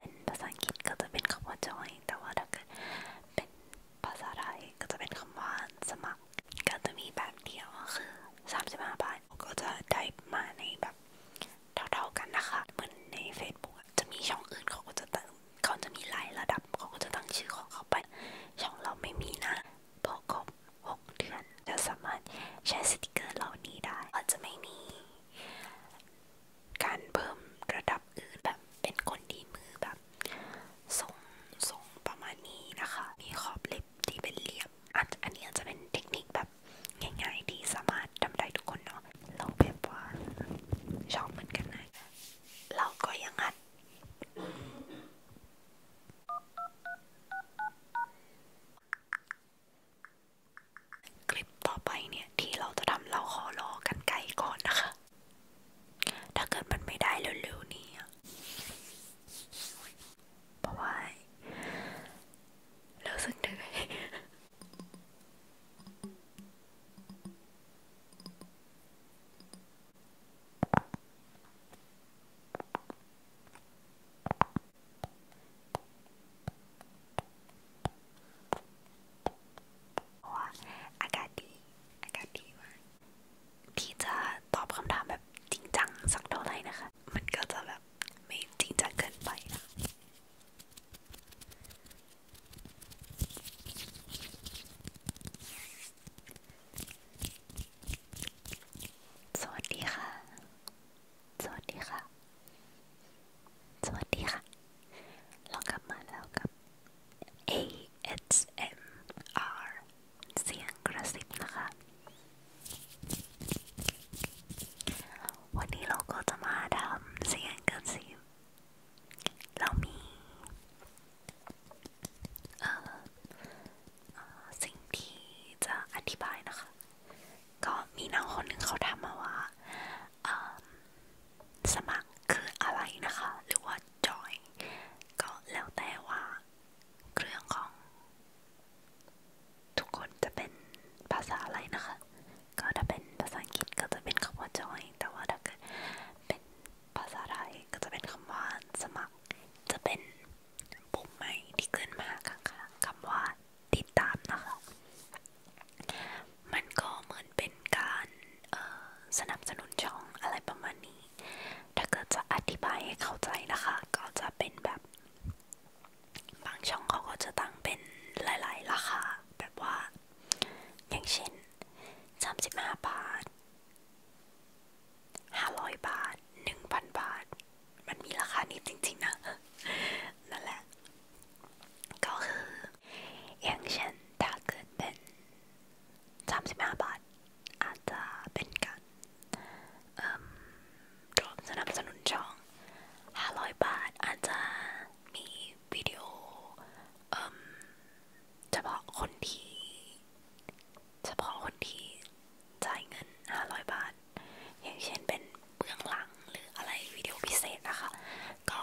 เป็นภาษาอังกฤษก็จะเป็นคำว่า join แต่ว่าถ้าเกิดเป็นภาษาไทยก็จะเป็นคำว่าสมัคร ก็จะมีแบบเดียวคือ35บาท ก็จะได้มาในแบบเท่า ๆกันนะคะ เหมือนใน Facebook จะมีช่องอื่นเขาก็จะตั้งเขาจะมีหลายระดับ เขาก็จะตั้งชื่อของเขาไป ช่องเราไม่มีนะพอครบ6เดือน จะสามารถใช้สติกเกอร์เหล่านี้ได้อาจจะไม่มีการเพิ่มระดับอื่นแบบเป็นคนที่มือแบบทรงทรงประมาณนี้นะคะ มีขอบเล็บที่เป็นเรียบอาจอันนี้อาจจะเป็นเทคนิคแบบง่ายๆที่สามารถทำได้ทุกคนเนาะเราแบบว่าชอบเหมือนกันนะเราก็ยังอัดคลิปต่อไปเนี่ย ที่เราจะทำเราขอรอกันไกลก่อนนะคะ ถ้าเกิดมันไม่ได้เร็วๆนี้เพราะว่ารู้สึกเหนื่อยเพราะว่าอากาศดีอากาศดีมากที่จะตอบคำถามแบบจริงจังสักเท่าไหร่นะคะ มันก็จะแบบไม่จริงจังเกินไปนะสวัสดีค่ะ สวัสดีค่ะสวัสดีค่ะ เรากลับมาแล้วกับ ASMR เสียงกระซิบนะคะ วันนี้เราก็จะมาทำเสียงกระซิบเรา มีสิ่งที่จะอธิบายนะคะ ก็มีน้องคนหนึ่งเขาทำมาว่าสมัครคืออะไรนะคะ หรือว่าจอยก็แล้วแต่ว่า เครื่องของ ทุกคนจะเป็นภาษาอะไรนะคะ ก็ถ้าเป็นภาษาอังกฤษก็จะเป็นคำว่าจอยแต่ว่าถ้าเกิดเป็นภาษาไทยก็จะเป็นคำว่า สมัคร จะเป็นปุ่มใหม่ที่ขึ้นมาข้างๆคำว่า ติดตามนะคะมันก็เหมือนเป็นการสนับสนุนช่องอะไรประมาณนี้ ถ้าเกิดจะอธิบายให้เข้าใจนะคะ ก็จะเป็นแบบ บางช่องเขาก็จะตั้งเป็นหลายๆราคาแบบว่า อย่างเช่น35บาท500บาท1,000บาท มันมีราคานี้จริงๆนะนั่นแหละก็คืออย่างเช่นถ้าเกิดเป็นสามสิบห้าบาทอาจจะเป็นการรวมสนับสนุนช่องห้าร้อยบาทอาจจะมีวิดีโอเฉพาะคนที่เฉพาะคนที่จ่ายเงินห้าร้อยบาท อย่างเช่นเป็นเบื้องหลังหรืออะไรวิดีโอพิเศษนะคะก็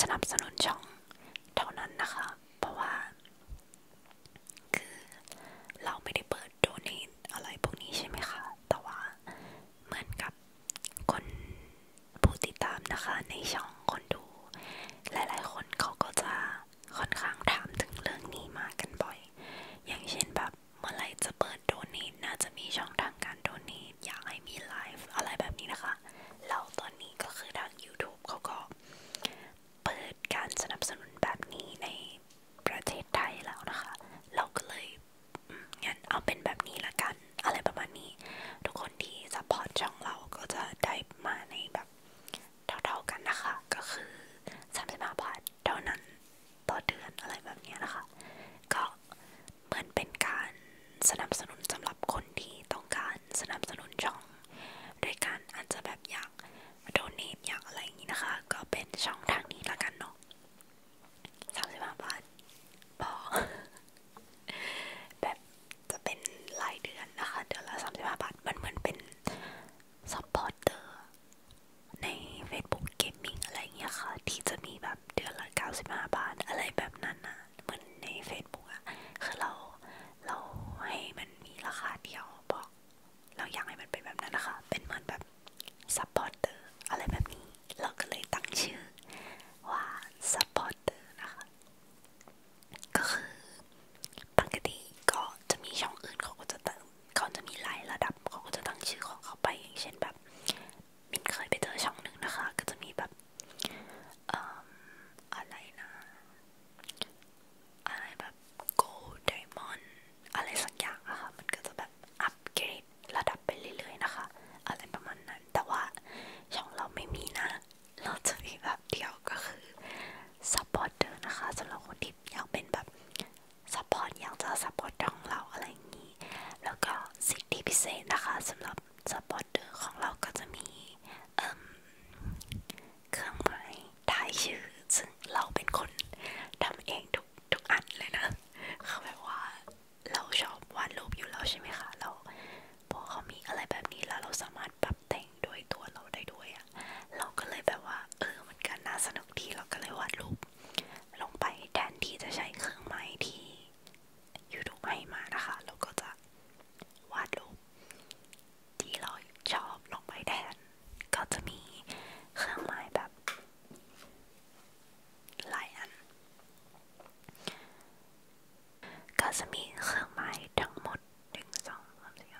สนับสนุนช่องเท่านั้นนะคะเพราะว่า คือเราไม่ได้เปิดโดเนทอะไรพวกนี้ใช่ไหมคะแต่ว่าเหมือนกับคนผู้ติดตามนะคะในช่องคนดู หลายๆ คนเขาก็จะค่อนข้างถามถึงเรื่องนี้มากันบ่อย อย่างเช่นแบบเมื่อไรจะเปิดโดเนทน่าจะมีช่องทางการโดเนทอยากให้มีไลฟ์อะไรแบบนี้นะคะแล้วตอนนี้ก็คือทาง YouTube เขาก็ เปิดการสนับสนุนแบบนี้ในประเทศไทยแล้วนะคะ เราก็เลยงั้นเอาเป็นแบบนี้ละกัน อะไรประมาณนี้ทุกคนที่สปอร์ตช่องเราก็จะได้มาในแบบเท่าๆกันนะคะก็คือ35บาทเท่านั้นต่อเดือนอะไรแบบนี้นะคะ ก็เหมือนเป็นการสนับสนุนสำหรับคนที่ต้องการสนับสนุนช่อง โดยการอาจจะแบบอยากโดเนทอยากอะไรอย่างนี้นะคะ ก็เป็นช่องทางนี้ละกันเนาะสามสิบห้าบาทพอแบบจะเป็นรายเดือนนะคะเดือนละสามสิบห้าบาทมันเหมือนเป็นซัอร์เตอร์ใน Facebook Gaming อะไรอย่างเงี้ยค่ะที่จะมีแบบเดือนละเก้าสิบห้าบาทอะไรแบบนั้นนะเหมือนใน Facebook อะคือเรา เราให้มันมีราคาเดียวบอก เราอยากให้มันเป็นแบบนั้นนะคะเป็นเหมือนแบบซัพพอร์เตอร์อะไรแบบนี้ เราก็เลยตั้งชื่อว่าซัพพอร์เตอร์นะคะ ก็คือปกติก็จะมีช่องอื่นเขาก็จะตั้งเขาจะมีหลายระดับเขาก็จะตั้งชื่อของเขาไปอย่างเช่นแบบมินเคยไปเจอช่องหนึ่งนะคะก็จะมีแบบออะไรนะอะไรแบบโกลไดมอนด์อะไรสักอย่างอะคะ่ะมันก็จะแบบอัปเกรดระดับไปเรื่อยๆนะคะอะไรประมาณนั้นแต่ว่าช่องเราไม่มีนะเราจะมีแบบเดียวก็คือซัพพอร์ตเตอร์นะคะสำหรับคนที่อยากเป็นแบบซัพพอร์ตอยากจะซัพพอร์ตของเราอะไรอย่างนี้แล้วก็สิทธิพิเศษนะคะสำหรับกับสปอตเตอร์ของเราก็จะมีเครื่องหมายท้ายชื่อซึ่งเราเป็นคนทำเองทุกทุกอันเลยนะเขาแบบว่า เราชอบวาดรูปอยู่แล้วใช่ไหมคะเราพอเขามีอะไรแบบนี้แล้วเราสามารถปรับแต่งด้วยตัวเราได้ด้วยอะเราก็เลยแบบว่า เออมันก็น่าสนุกดีเราก็เลยวาดรูปลงไปแทนที่จะใช้เครื่องหมายที่ยูทูบให้มานะคะเราก็จะวาดรูปที่เราชอบลงไปแทนก็จะมีเครื่องหมายแบบหลายอันก็จะมีเครื่องหมายทั้งหมดหนึ่งสองสามสี่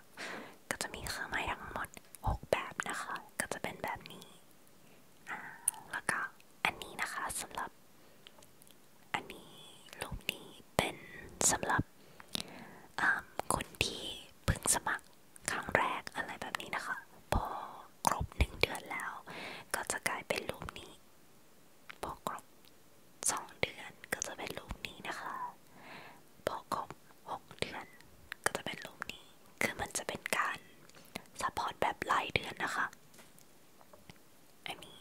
ก็จะมีเครื่องหมายทั้งหมดหกแบบนะคะ ก็จะเป็นแบบนี้ แล้วก็อันนี้นะคะสำหรับอันนี้รูปนี้เป็นสำหรับคนที่เพิ่งสมัครครั้งแรกอะไรแบบนี้นะคะ พอครบหนึ่งเดือนแล้วก็จะกลายเป็นรูปนี้พอครบสองเดือนก็จะเป็นรูปนี้นะคะพอครบหกเดือน ก็จะเป็นรูปนี้ คือมันจะเป็นการซัพพอร์ตแบบรายเดือนนะคะอันนี้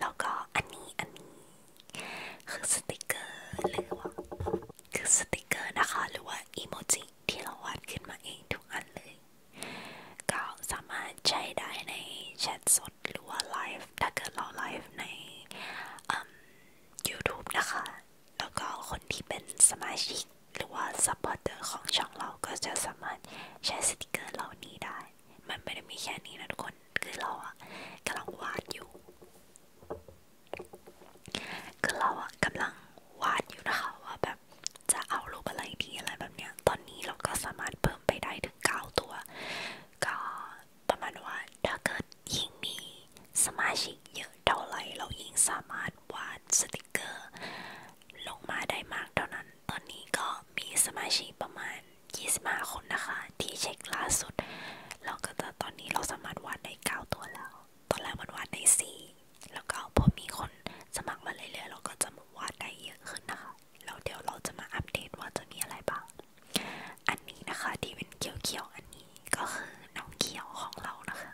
แล้วก็อันนี้อันนี้คือสติกเกอร์หรือว่าคือสติกเกอร์นะคะหรือว่าอีโมจิที่เราวาดขึ้นมาเองทุกอันเลย ก็สามารถใช้ได้ในแชทสดหรือว่าไลฟ์ถ้าเกิดเราไลฟ์ใน y o u t u นะคะ แล้วก็คนที่เป็นสมาชิกหรือว่าซัอรเตอร์ของช่องเราก็จะสามารถใช้สติกเกอร์เหล่านี้ได้มันไม่ได้มีแค่นี้นะทุกคน คือเราอะกำลังวาดอยู่คือเราอะกำลังวาดอยู่นะคะว่าแบบจะเอารูปอะไรดีอะไรแบบเนี้ยตอนนี้เราก็สามารถเพิ่มไปได้ถึงเก้าตัวก็ประมาณว่าถ้าเกิดยิ่งมีสมาชิกเยอะเท่าไหร่เรายิ่งสามารถวาดสติกเกอร์ลงมาได้มากเท่านั้น ตอนนี้ก็มีสมาชิกประมาณ25คนนะคะที่เช็คล่าสุดแล้วก็จะตอนนี้เราสามารถวาดได้9ตัวแล้วตอนแรกมันวาดได้4แล้วก็พอมีคน สมัครมาเรื่อยๆเราก็จะวาดได้เยอะขึ้นนะคะแล้วเดี๋ยวเราจะมาอัปเดตว่าจะมีอะไรบ้างอันนี้นะคะ ที่เป็นเขียวๆอันนี้ก็คือน้องเขียวของเรานะคะ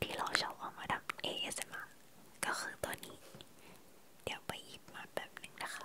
ที่เราชอบเอามาทำ ASMR ก็คือตัวนี้ เดี๋ยวไปหยิบมาแบบหนึ่งนะคะ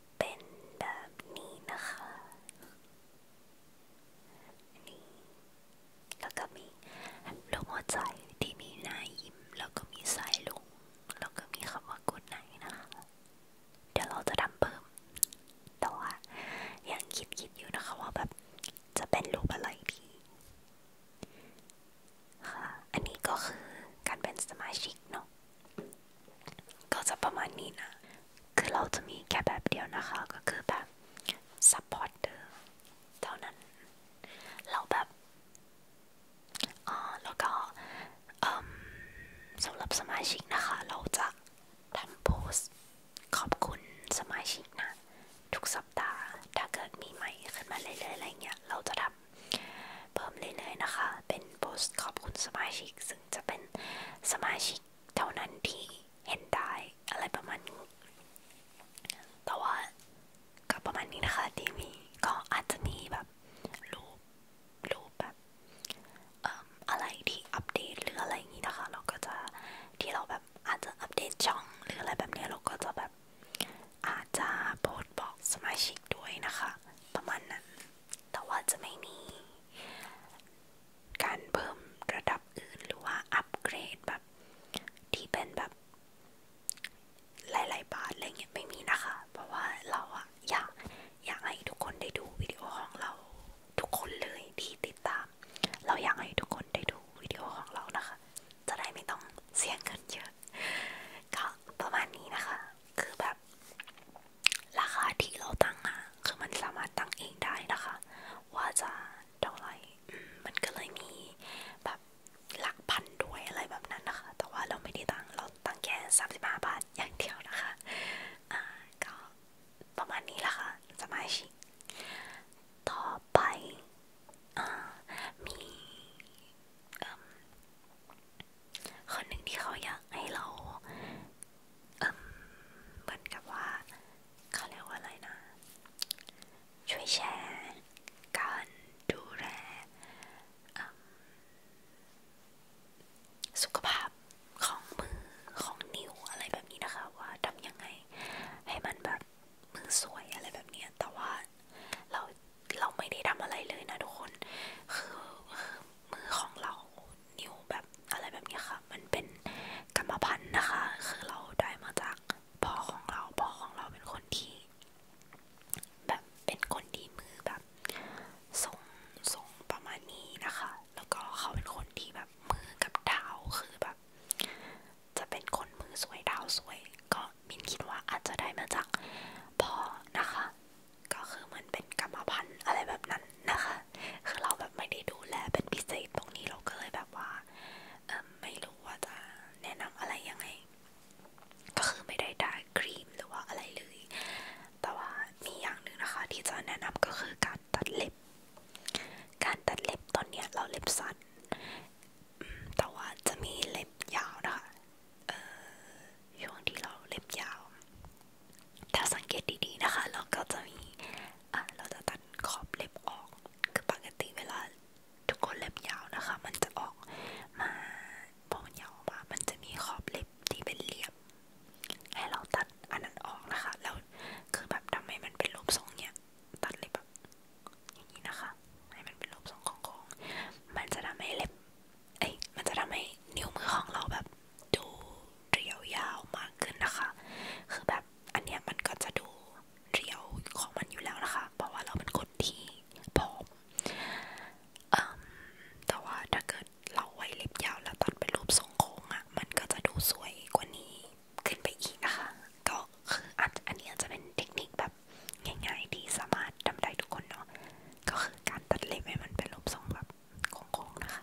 เป็นแบบนี้นะคะ นี่แล้วก็มีรูปหัวใจที่มีหน้ายิ้ม แล้วก็มีสายลุงแล้วก็มีคำว่ากูดไนนะคะ เดี๋ยวเราจะทำเพิ่ม แต่ว่ายังคิดคิดอยู่นะคะว่าแบบ จะเป็นรูปอะไรดีค่ะ อันนี้ก็คือการเป็นสมาชิกเนาะก็จะประมาณนี้นะคือเราจะมีแค่แบบเดียวนะคะก็คือแบบ supporter เท่านั้นเราแบบอ๋อแล้วก็สำหรับสมาชิกนะคะ เราจะทำโพสขอบคุณสมาชิกนะ ทุกสัปดาห์ ถ้าเกิดมีใหม่ขึ้นมา เรื่อยๆอะไรเงี้ย เราจะทำเพิ่มเรื่อยๆนะคะ เป็นโพสขอบคุณสมาชิกซึ่งจะเป็นสมาชิกเท่านั้นที่เห็นได้อะไรประมาณนี้แต่ว่าก็ประมาณนี้นะคะที่มีก็อาจจะมีแบบรูปรูปแบบอะไรที่อัปเดตหรืออะไรอย่างนี้นะคะ เราก็จะที่เราแบบอาจจะอัปเดตช่อง หรืออะไรแบบนี้เราก็จะแบบอาจจะโพสบอกสมาชิกด้วยนะคะ ประมาณนั้น แต่ว่าจะไม่มีการเพิ่มระดับอื่นหรือว่าอัปเกรดแบบที่เป็นแบบ หลายๆบาทอะไรเงี้ยไม่มีนะคะ เพราะว่าเราอะอยากอยากให้ทุกคนได้ดูวิดีโอของเราทุกคนเลยที่ติดตาม เราอยากให้ทุกคนได้ดูวิดีโอของเรานะคะ จะได้ไม่ต้องเสียเงินเยอะก็ประมาณนี้นะคะ คือแบบราคาที่เราตั้งอะคือมันสามารถตั้งเองได้นะคะ ว่าจะเท่าไหร่ มันก็เลยมีแบบหลักพันด้วยอะไรแบบนั้นนะคะ แต่ว่าเราไม่ได้ตั้งเราตั้งแค่สามสิบห้าบาทอย่างเดียวนะคะอ่าก็ประมาณนี้ละคะ่ะสมาชิกต่อไปอมีคนหนึ่งที่เขาอยากให้เราเอ่อเหมือนกับว่าเขาเรียกว่าอะไรนะช่วยแชร์การดูแลสุขภาพของมือของนิ้วอะไรแบบนี้นะคะ ว่าทำยังไงให้มันแบบมือสวยอะไรแบบนี้แต่ว่าเราเราไม่ได้ทำอะไรเลยนะทุกคนคือมือของเรานิ้วแบบอะไรแบบนี้ค่ะ มันเป็นกรรมพันธุ์นะคะ คือเราได้มาจากพ่อของเราพ่อของเราเป็นคนที่ แบบเป็นคนที่มือแบบทรงทรงประมาณนี้นะคะ แล้วก็เขาเป็นคนที่แบบมือกับเท้าคือแบบ จะเป็นคนมือสวยเท้าสวย ก็มินคิดว่าอาจจะได้มาจากพ่อนะคะก็คือมันเป็นกรรมพันธุ์อะไรแบบนั้นนะคะ คือเราแบบไม่ได้ดูแล เป็นพิเศษตรงนี้เราก็เลยแบบว่าไม่รู้ว่าจะแนะนำอะไรยังไง ก็คือไม่ได้ได้ครีมหรือว่าอะไรเลย แต่ว่ามีอย่างหนึ่งนะคะที่จะแนะนำก็คือการตัดเล็บ การตัดเล็บตอนเนี้ยเราเล็บสั้น แต่ว่าจะมีเล็บยาวนะคะช่วงที่เราเล็บยาวถ้าสังเกตดีๆนะคะ เราก็จะมีอ่ะเราจะตัดขอบเล็บออก คือปกติเวลาทุกคนเล็บยาวนะคะ มันจะออกมาพอมันยาวออกมามันจะมีขอบเล็บที่เป็นเหลี่ยมให้เราตัดอันนั้นออกนะคะแล้วคือแบบทำไมมันเป็นรูปทรงเนี้ยตัดเล็บแบบอย่างนี้นะคะ ให้มันเป็นรูปทรงโค้งๆมันจะทำให้เล็บ เอ้ย มันจะทำให้นิ้วมือของเราแบบดูเรียวยาวมากขึ้นนะคะ คือแบบอันเนี้ยมันก็จะดูเรียวของมันอยู่แล้วนะคะเพราะว่าเราเป็นคนที่ผอมแต่ว่าถ้าเกิดเราไว้เล็บยาว แล้วตัดเป็นรูปทรงโค้งอะ่ะมันก็จะดูสวยกว่านี้ขึ้นไปอีกนะคะก็คืออันอันนี้จะเป็นเทคนิคแบบง่ายๆที่สามารถทำได้ทุกคนเนาะก็คือการตัดเล็บให้มันเป็นรูปทรงแบบโค้งๆนะคะ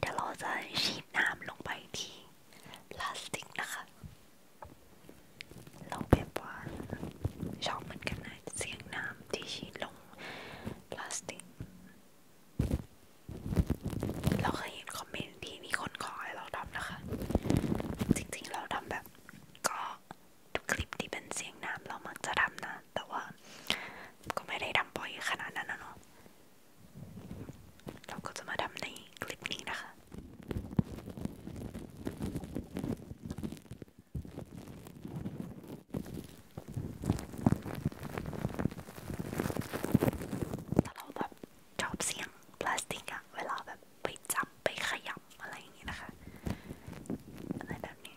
เดี๋ยวเราจะฉีดน้ำลงไปที่พลาสติกนะคะเเราแบบว่าชอบเหมือนกันนะเสียงน้ำที่ฉีดลงพลาสติกเราเคยเห็นคอมเมนต์ที่มีคนขอให้เราทำนะคะ จริงๆเราทำแบบก็ทุกคลิปที่เป็นเสียงน้ำเรามักจะทำนะ แต่ว่าก็ไม่ได้ทำบ่อยขนาดนั้นนะเนาะเราก็จะมาทำในคลิปนี้นะคะแต่เราแบบชอบเสียงพลาสติกอะเวลาแบบไปจับไปขยำอะไรอย่างนี้นะคะอะไรแบบนี้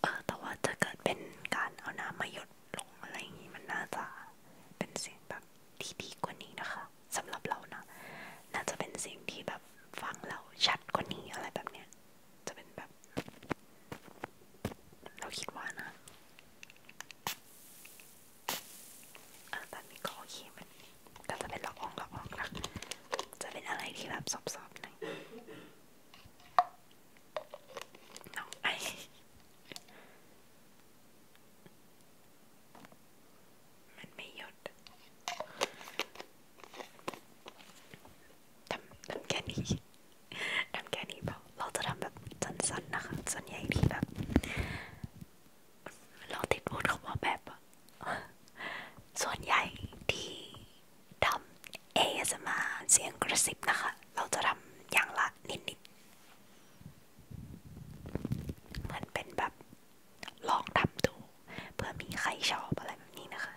เออแต่ว่าจะเกิดเป็นการเอาน้ำมาหยดลงอะไรอย่างนี้ มันน่าจะเป็นเสียงแบบที่ดีกว่านี้นะคะสำหรับเรานะน่าจะเป็นเสียงที่แบบฟังเราชัดกว่านี้อะไรแบบเนี้ยจะเป็นแบบ เราคิดว่านะเออตอนนี้ก็โอเคมันแต่จะเป็นละอองละอองนะจะเป็นอะไรที่แบบซอบๆหน่อยน้องไอมันไม่หยดทำทำแค่นี้ทำแค่นี้เปล่าเราจะทำแบบสั้นๆนะคะส่วนใหญ่ที่แบบ เราติดพูดคำว่าแบบส่วนใหญ่ที่ทำเอสมาเสียงกระซิบนะคะ เราจะทำอย่างละนิดๆเหมือนเป็นแบบลองทำดูเพื่อมีใครชอบอะไรแบบนี้นะคะ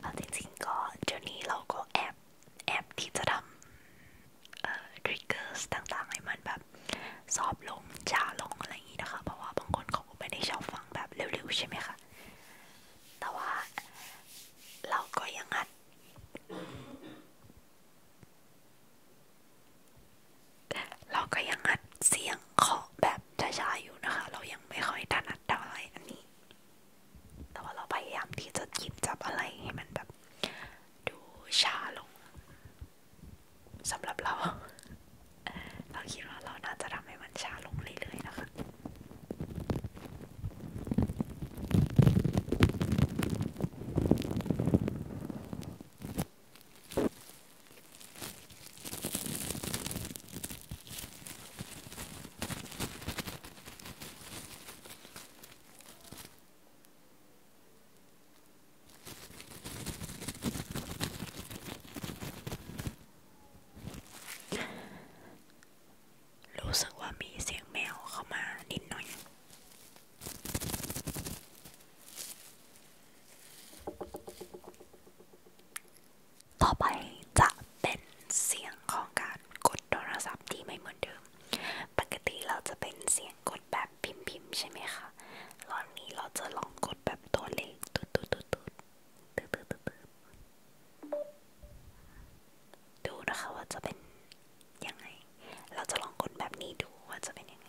เอาจริงๆก็เดี๋ยวนี้เราก็แอบแอบที่จะทำเอ่อทริกเกอร์ต่างๆให้มันแบบซอบลงช้าลงอะไรอย่างนี้นะคะ เพราะว่าบางคนเขาก็ไม่ได้ชอบฟังแบบเร็วๆ ใช่ไหมคะ แต่ว่า เราก็ยังอัด เราก็ยังอัดเสียงเคาะแบบช้าๆอยู่นะคะ เรายังไม่ค่อยถนัดเท่าไหร่อันนี้ แต่ว่าเราพยายามที่จะคิดจับอะไรให้มันแบบดูช้าลงสำหรับเรา เราคิดว่าเราน่าจะทำให้มันช้าลงเรื่อยๆนะคะรู้สึกว่ามีเสียงแมวเข้ามานิดหน่อย ต่อไปจะเป็นเสียงของการกดโทรศัพท์ที่ไม่เหมือนเดิม ปกติเราจะเป็นเสียงกดแบบพิมพ์พิมพ์ใช่ไหมคะรอบนี้เราจะลองกดแบบตัวเลขตุ๊ดตุ๊ดตุ๊ดตุ๊ดตุ๊ดตุ๊ดตุ๊ดตุ๊ดดูนะคะว่าจะเป็นยังไง เราจะลองกดแบบนี้ดูว่าจะเป็นยังไง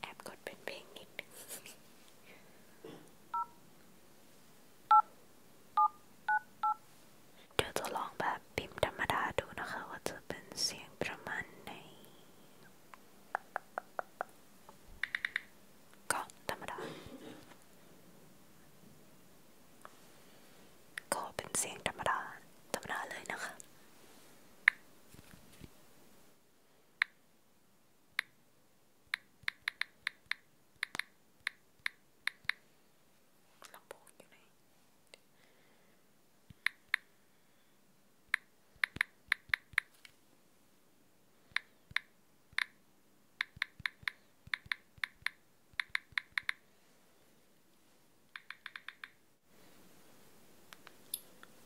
แอบกดเป็นเพลงนิดนึงเดี๋ยวจะลองแบบพิมพ์ธรรมดาดูนะคะว่าจะเป็นเสียงประมาณไหนเก็ธรรมดา ก็เป็นเสียงธรรมดา ธรรมดาเลยนะคะลำโพงอยู่ไหน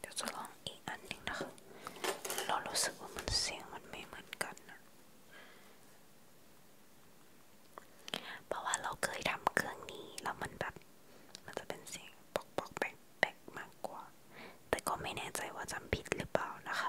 เดี๋ยวจะลองอีกอันหนึ่งนะคะ เรารู้สึกว่ามันเสียงมันไม่เหมือนกันนะเพราะว่าเราเคยทำเครื่องนี้แล้วมันแบบ มันจะเป็นเสียงปอกปอกแปกแปกมากกว่า แต่ก็ไม่แน่ใจว่าจำผิดหรือเปล่านะคะ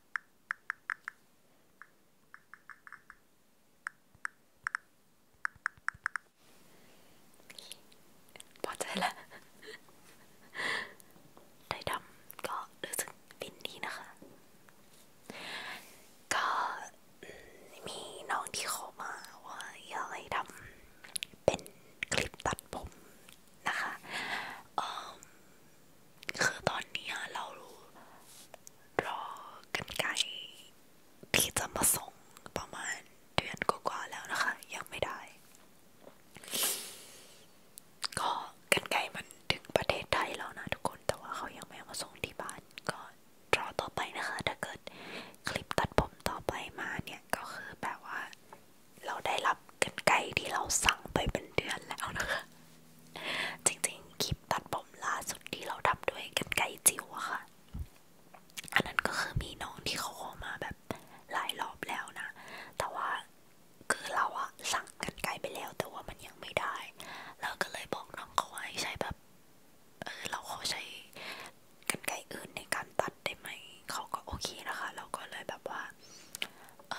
พอใจแล้ว ได้ดำก็รู้สึกฟินดีนะคะ ก็มีน้องที่เขามาว่าอยากให้ทำเป็นคลิปตัดผมนะคะคือตอนนี้เรารอกันไกลที่จะมาส่งประมาณเดือนกว่าๆแล้วนะคะ ยังไม่ได้ ก็กันไกลมันถึงประเทศไทยแล้วนะทุกคนแต่ว่าเขายังไม่มาส่งที่บ้านก็รอต่อไปนะคะ ถ้าเกิดคลิปตัดผมต่อไปมาเนี่ยก็คือแบบว่าเราได้รับกันไกที่เราสั่งไปเป็นเดือนแล้วนะคะจริงๆคลิปตัดผมล่าสุดที่เราทำด้วยกันไกจิ๋วอะค่ะ อันนั้นก็คือมีน้องที่เขาขอมาแบบหลายรอบแล้วนะแต่ว่าคือเราอะสั่งกันไกไปแล้วแต่ว่ามันยังไม่ได้เราก็เลยบอกน้องเขาว่าให้ใช้แบบ เออเราขอใช้กันไกอื่นในการตัดได้ไหมเขาก็โอเคนะคะเราก็เลยแบบว่าเอ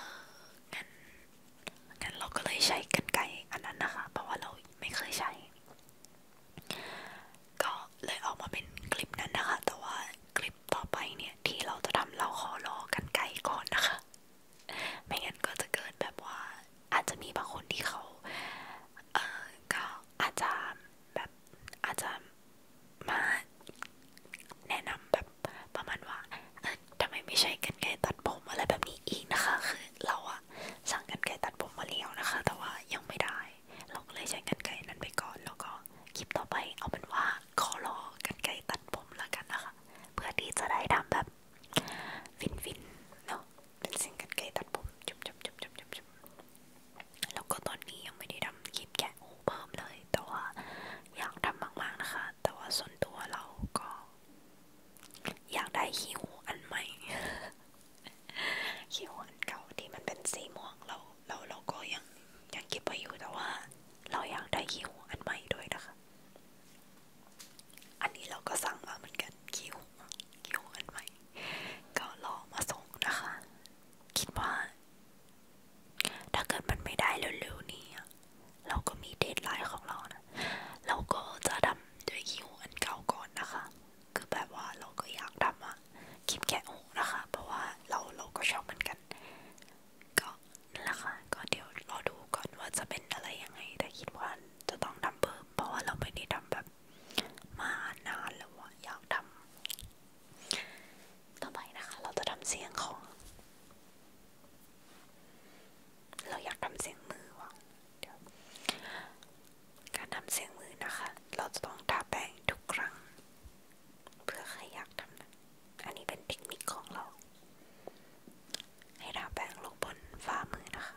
องั้นงั้นเราก็เลยใช้กรรไกรอันนั้นนะคะเพราะว่าเราไม่เคยใช้ ก็เลยออกมาเป็นคลิปนั้นนะคะ แต่ว่าคลิปต่อไปเนี่ยที่เราจะทำเราขอรอกันไกลก่อนนะคะไม่งั้นก็จะเกิดแบบว่าอาจจะมีบางคนที่เขาเออก็อาจจะแบบอาจจะมาแนะนำแบบประมาณว่าเออทำไมไม่ใช่กันไกลตัดผมอะไรแบบนี้อีกนะคะ คือเราอะสั่งกันไกลตัดผมมาเลี้ยวนะคะ แต่ว่ายังไม่ได้ เราก็เลยใช้กันไกลนั้นไปก่อนแล้วก็คลิปต่อไปเอาเป็นว่าขอรอกันไกลตัดผมละกันนะคะ เพื่อที่จะได้ทำแบบฟินๆเนาะเป็นสิ่งกันไกลตัดผมจุบๆๆๆๆแล้วก็ตอนนี้ยังไม่ได้ทำคลิปแกะเพิ่มเลยแต่ว่าอยากทำมากๆนะคะ แต่ว่าส่วนตัวเราก็ อยากได้หิวอันใหม่หิวอันเก่าที่มันเป็นสีม่วงเรา เราเราก็ยังยังเก็บไว้อยู่แต่ว่า เราอยากได้หิวอันใหม่ด้วยนะคะ อันนี้เราก็สั่งมาเหมือนกันคิวคิวอันใหม่ก็รอมาส่งนะคะ คิดว่าถ้าเกิดมันไม่ได้เร็วๆนี้เราก็มีเดทไลน์ของเรานะเราก็จะทำด้วยคิวอันเก่าก่อนนะคะ คือแบบว่าเราก็อยากทำอะคลิปแกะอกนะคะ เพราะว่าเราเราก็ชอบเหมือนกันก็นั่นแหละค่ะก็เดี๋ยวรอดูก่อนว่าจะเป็นอะไรยังไงแต่คิดว่าจะต้องทำเพิ่มเพราะว่าเราไม่ได้ทำแบบ มานานแล้วอะอยากทำต่อไปนะคะเราจะทำเสียงของ เราอยากทำเสียงมือว่ะเดี๋ยวการทำเสียงมือนะคะ เราจะต้องทาแป้งทุกครั้งเพื่อใครอยากทำนะอันนี้เป็นเทคนิคของเรา ให้ทาแป้งลงบนฝ่ามือนะคะ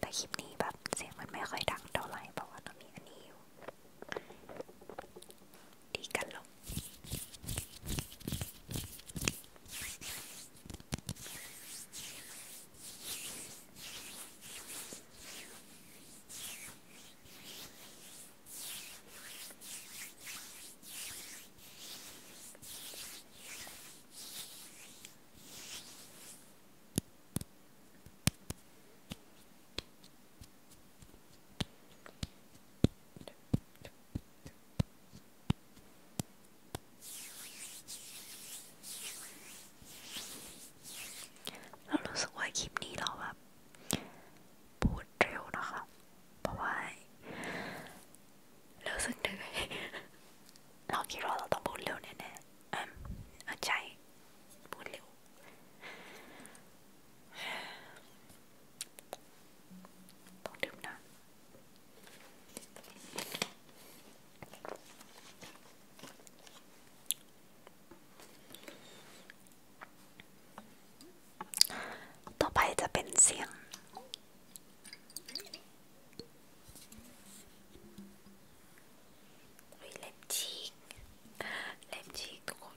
แต่คลิปนี้แบบเสียงมันไม่ค่อยดังเท่าไหร่เพราะว่าต้องมีอันนี้อยู่ ดีกันลงเรารู้สึกว่าคลิปนี้เราแบบพูดเร็วนะคะเพราะว่ารู้สึกเหนื่อยเราคิดว่าเราต้องพูดเร็วแน่ๆอืมเอาใจ พูดเร็วต้องดื่มนะต่อไปจะเป็นเสียงเล็บฉีกเล็บฉีกทุกคน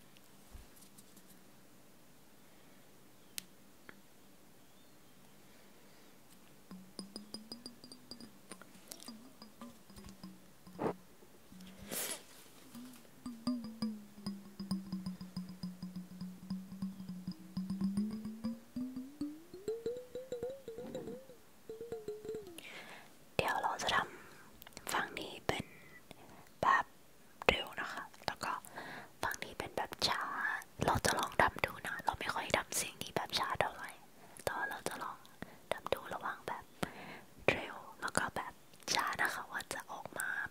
เดี๋ยวเราจะทำฝั่งนี้เป็นแบบเร็วนะคะ แล้วก็ฝั่งนี้เป็นแบบช้า เราจะลองทำดูนะ เราไม่ค่อยทำสิ่งนี้แบบช้าเท่าไหร่แต่เราจะลองทำดูระหว่างแบบเร็วแล้วก็แบบช้านะคะว่าจะออกมา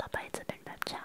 ต่อไปจะเป็นแบบชา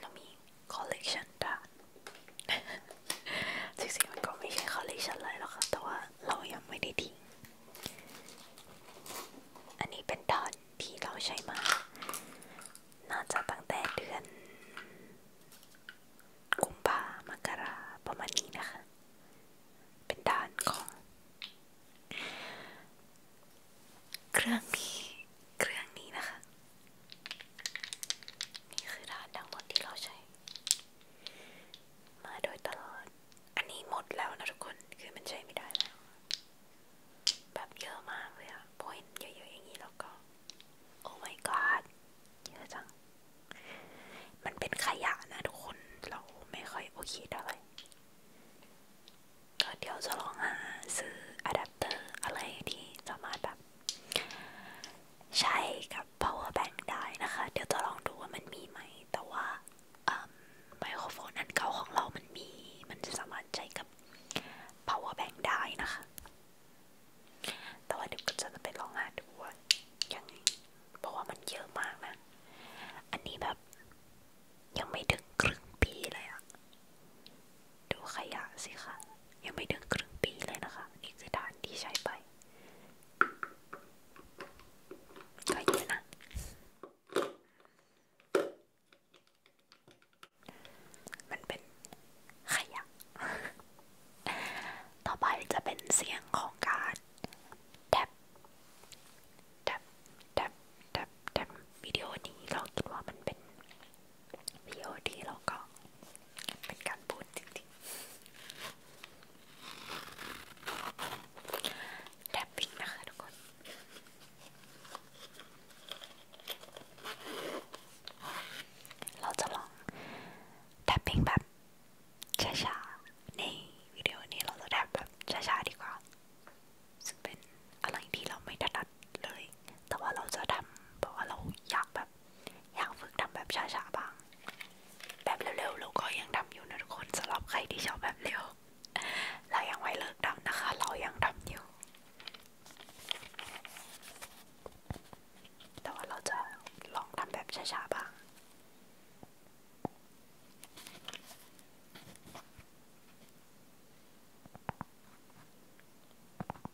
เรามีคอลเลกชันด่านจริงๆมันก็ไม่ใช่คอลเลกชันอะไรหรอกค่ะ แต่ว่าเรายังไม่ได้ทิ้ง อันนี้เป็นด่านที่เราใช้มา น่าจะ ตั้งแต่เดือน กุมภามกรา ประมาณนี้นะคะ เป็นด่านของ เครื่องนี้ เครื่องนี้นะคะนี่คือรหัสทั้งหมดที่เราใช้ มาโดยตลอดอันนี้หมดแล้วนะทุกคน คือมันใช้ไม่ได้แล้ว แบบเยอะมากเลยอะพอเห็นเยอะๆอย่างนี้แล้วก็โอ้ my god เยอะจัง มันเป็นขยะนะทุกคน เราไม่ค่อยโอเคเท่าไหร่ก็เดี๋ยวจะลองหาซื้ออะแดปเตอร์อะไรที่สามารถแบบใช้กับ power bank ได้นะคะ เดี๋ยวจะลองดูว่ามันมีไหม แต่ว่าไมโครโฟนอันเก่าของเรามันมี มันจะสามารถใช้กับ power bank ได้นะคะ แต่ว่าเดี๋ยวก็จะไปลองหาดูว่ายังไง เพราะว่ามันเยอะมากนะ อันนี้แบบยังไม่ถึงครึ่งปี เลยอะดูขยะสิคะยังไม่ถึงครึ่งปีเลยนะคะนี่คือฐานที่ใช้ไป ก็เยอะนะ มันเป็นขยะ ต่อไปจะเป็นเสียงของการแท็บแท็บแท็บแท็บวิดีโอนี้เราคิดว่ามันเป็นพีโอดีเราก็เป็นการพูดจริงๆแทบปิดนะคะทุกคน เราจะลองแทบปิงแบบช้าๆในวิดีโอนี้เราจะแทบแบบช้าๆดีกว่าซึ่งเป็นอะไรที่เราไม่ถนัดเลย แต่ว่าเราจะทำเพราะว่าเราอยากแบบแบบอยากฝึกทำแบบช้าๆบ้าง แบบเร็วๆเราก็ยังทำอยู่นะทุกคนสำหรับใครที่ชอบแบบเร็ว เรายังไม่เลิกทำนะคะ เรายังทำอยู่ แต่ว่าเราจะลองทำแบบช้าๆบ้าง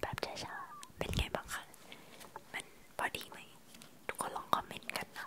แบบช้าๆเป็นไงบ้างคะ มันพอดีไหม ทุกคนลองคอมเมนต์กันนะ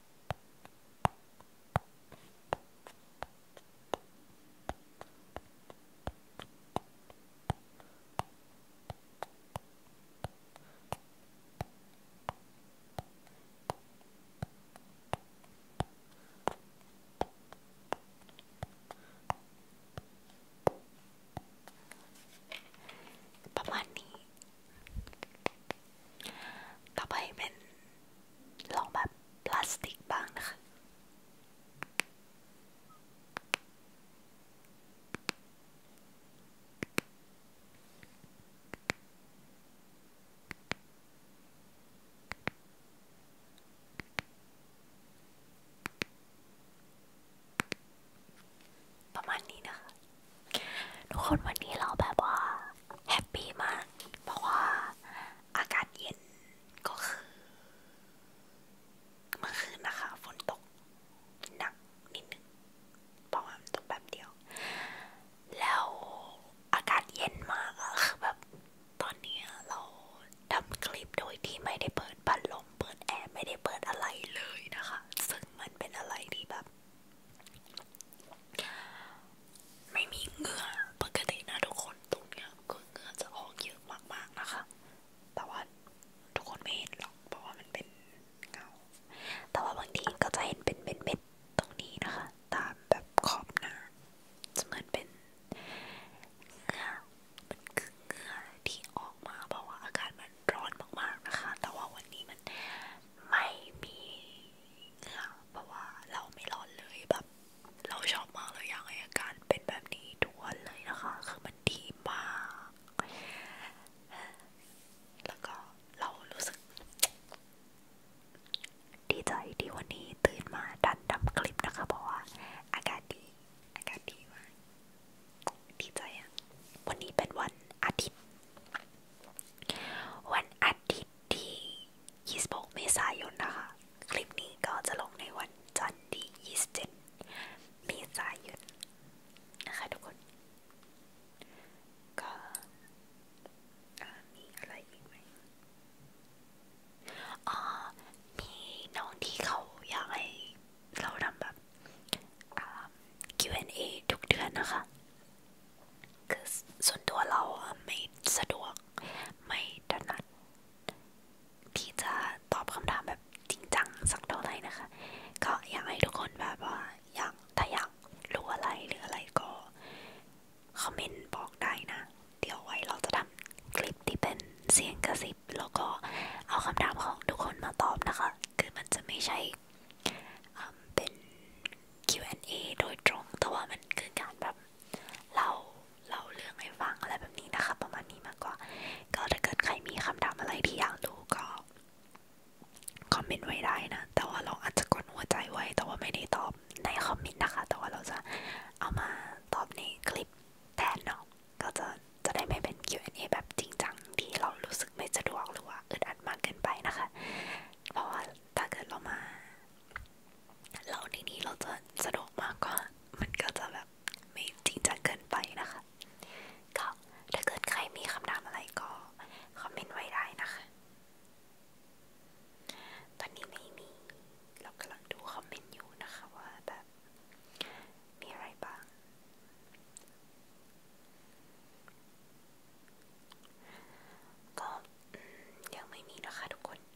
ประมาณนี้ต่อไปเป็นลองแบบพลาสติกบ้งประมาณนี้นะคะ ทุกคนวันนี้เราแบบว่า แฮปปี้มากเพราะว่าอากาศเย็นก็คือเมื่อคืนนะคะ ฝนตกหนักนิดนึงเพราะว่ามันตกแบบเดียว แล้วอากาศเย็นมากอะคือแบบตอนนี้เราทำคลิปโดยที่ไม่ได้เปิดพัดลม เปิดแอร์ไม่ได้เปิดอะไรเลยนะคะ ซึ่งมันเป็นอะไรที่แบบไม่มีเหงื่อปกตินะทุกคนตรงเนี้ยคือเหงื่อจะออกเยอะมากๆนะคะ แต่ว่าทุกคนไม่เห็นหรอกเพราะว่ามันเป็นเงาแต่ว่าบางทีก็จะเห็นเป็นเม็ดๆตรงนี้นะคะ ตามแบบขอบหน้าจะเหมือนเป็นเหงื่อมันคือเหงื่อที่ออกมาเพราะว่าอากาศมันร้อนมากๆนะคะ แต่ว่าวันนี้มันไม่มีเหงื่อเพราะว่าเราไม่ร้อนเลยแบบเราชอบมากเลยอยากให้อาการเป็นแบบนี้ทุกวันเลยนะคะคือมันดีมาก แล้วก็เรารู้สึก ดีใจที่วันนี้ตื่นมาดันทำคลิปนะคะ เพราะว่าอากาศดี อากาศดีมากดีใจอะวันนี้เป็นวันอาทิตย์วันอาทิตย์ที่26เมษายนนะคะคลิปนี้ก็จะลงในวันจันทร์ที่27เมษายนนะคะทุกคน ก็มีอะไรอีกไหมอ๋อมีน้องที่เขาอยากให้เราทำแบบ Q&A ทุกเดือนนะคะคือส่วนตัวเราไม่สะดวกไม่ถนัดที่จะตอบคำถามแบบจริงจังสักเท่าไหร่นะคะ ก็อยากให้ทุกคนแบบว่าอยากถ้าอยากรู้อะไรหรืออะไรก็คอมเมนต์บอกได้นะเดี๋ยวไว้เราจะทำคลิปที่เป็นเสียงกระซิบแล้วก็เอาคำถามของทุกคนมาตอบนะคะคือมันจะไม่ใช่เป็น Q&A โดยตรงแต่ว่ามันคือการแบบเล่าเล่าเรื่องให้ฟังอะไรแบบนี้นะคะ ประมาณนี้มากกว่าก็ถ้าเกิดใครมีคำถามอะไรที่อยากรู้ก็คอมเมนต์ไว้ได้นะแต่ว่าเราอาจจะกดหัวใจไว้ แต่ว่าไม่ได้ตอบในคอมเมนต์นะคะ แต่ว่าเราจะเอามาตอบในคลิปแทนเนาะก็จะจะได้ไม่เป็น Q&A แบบจริงจังที่เรารู้สึกไม่สะดวกหรือว่าอึดอัดมากเกินไปนะคะเพราะว่าถ้าเกิดเรามา เราในนี้เราจะสะดวกมากกว่ามันก็จะแบบไม่จริงจังเกินไปนะคะก็ถ้าเกิดใครมีคำถามอะไรก็คอมเมนต์ไว้ได้นะคะตอนนี้ไม่มีเรากำลังดูคอมเมนต์อยู่นะคะว่าแบบมีอะไรบ้างก็ยังไม่มีนะคะทุกคน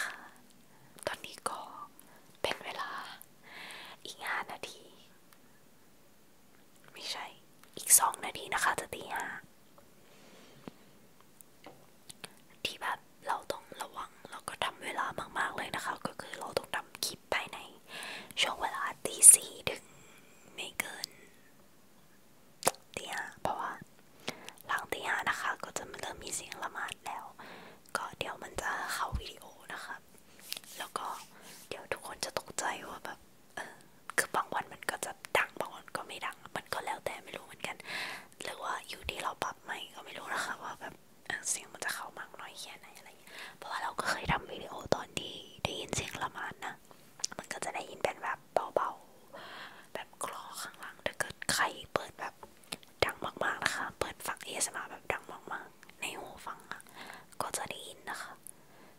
ค่ะ ตอนนี้ก็เป็นเวลาอีกห้านาที ไม่ใช่อีกสองนาทีนะคะ จะตีห้าที่แบบเราต้องระวังแล้วก็ทำเวลามาก ๆ เลยนะคะ ก็คือเราต้องทำคลิปภายใน ช่วงเวลาตีสี่ถึงไม่เกินตีห้าเพราะว่าหลังตีห้านะคะ ก็จะเริ่มมีเสียงละหมาดแล้ว ก็เดี๋ยวมันจะเข้าวิดีโอนะคะ แล้วก็เดี๋ยวทุกคนจะตกใจว่าแบบเออคือบางวันมันก็จะดังบางวันก็ไม่ดัง มันก็แล้วแต่ไม่รู้เหมือนกัน หรือว่าอยู่ที่เราปรับไหมก็ไม่รู้นะคะว่าแบบเสียงมันจะเข้ามากน้อยแค่ไหนอะไรเพราะว่าเราก็เคยทำวิดีโอตอนที่ได้ยินเสียงละหมาดนะ มันก็จะได้ยินเป็นแบบแบบเบาๆ แบบคลอข้างหลังถ้าเกิดใครเปิดแบบดังมากๆ นะคะ เปิดฟัง ASMR แบบดังมากๆ ในหูฟังอะก็จะได้ยินนะคะ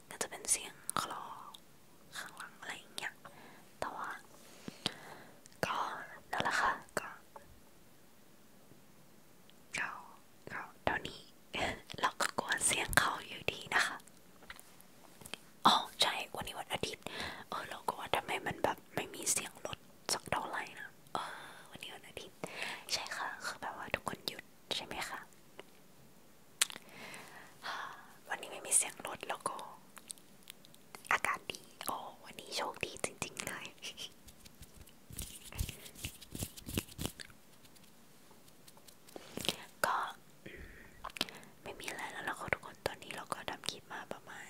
ก็จะเป็นเสียงคลอข้างหลังอะไรอย่างเงี้ยแต่ว่าก็นั่นแหละค่ะก็ก็ก็ตอนนี้เราก็กลัวเสียงเขาอยู่ดีนะคะอ๋อใช่ วันนี้วันอาทิตย์ เออเราก็ว่าทำไมมันแบบไม่มีเสียงรถสักเท่าไหร่นะเออวันนี้วันอาทิตย์ใช่ค่ะคือแบบว่าทุกคนหยุดใช่ไหมคะ วันนี้ไม่มีเสียงรถแล้วก็อากาศดีโอ้วันนี้โชคดีจริงๆเลยก็ไม่มีอะไรแล้วล่ะค่ะทุกคน ตอนนี้เราก็ดำคลิปมาประมาณ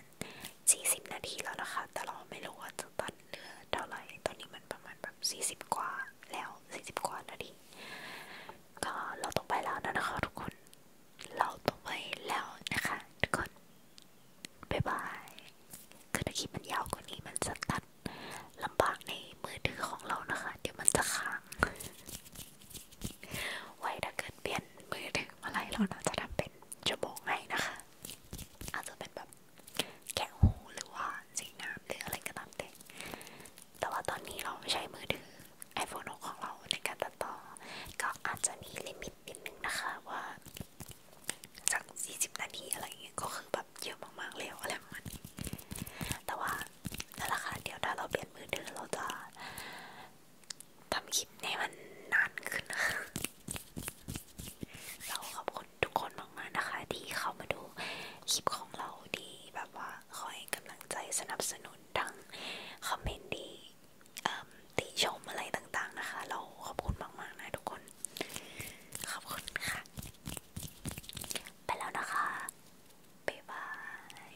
40 นาทีแล้วนะคะ แต่เราไม่รู้ว่าจะตัดเหลือเท่าไหร่ตอนนี้มันประมาณแบบ 40 กว่า แล้ว 40 กว่านาทีก็เราต้องไปแล้วนะคะ ทุกคน เราต้องไปแล้วนะคะ ทุกคนบ๊ายบายคือถ้าคลิปมันยาวกว่านี้มันจะตัดลำบากในมือถือของเรานะคะ เดี๋ยวมันจะค้างไว้ถ้าเกิดเปลี่ยนมือถืออะไรเราน่าจะทำเป็นชั่วโมงให้นะคะ อาจจะเป็นแบบแกะหูหรือว่าสีน้ำหรืออะไรก็ตามแต่แต่ว่าตอนนี้เราใช้มือถือ iPhone 6ของเราในการตัดต่อก็อาจจะมีลิมิตนิดนึงนะคะว่าจาก40 นาทีอะไรเงี้ยก็คือแบบเยอะมากๆแล้วอะไรประมาณนี้แต่ว่านั่นแหละค่ะเดี๋ยวถ้าเราเปลี่ยนมือถือเราจะทำคลิปให้มันนานขึ้นนะคะ เราขอบคุณทุกคนมาก ๆนะคะ ที่เข้ามาดูคลิปของเราดีแบบว่าคอยกำลังใจสนับสนุน ทั้งคอมเมนต์ดีติชมอะไรต่างๆนะคะ เราขอบคุณมาก ๆ นะทุกคน ขอบคุณค่ะ ไปแล้วนะคะ บ๊ายบาย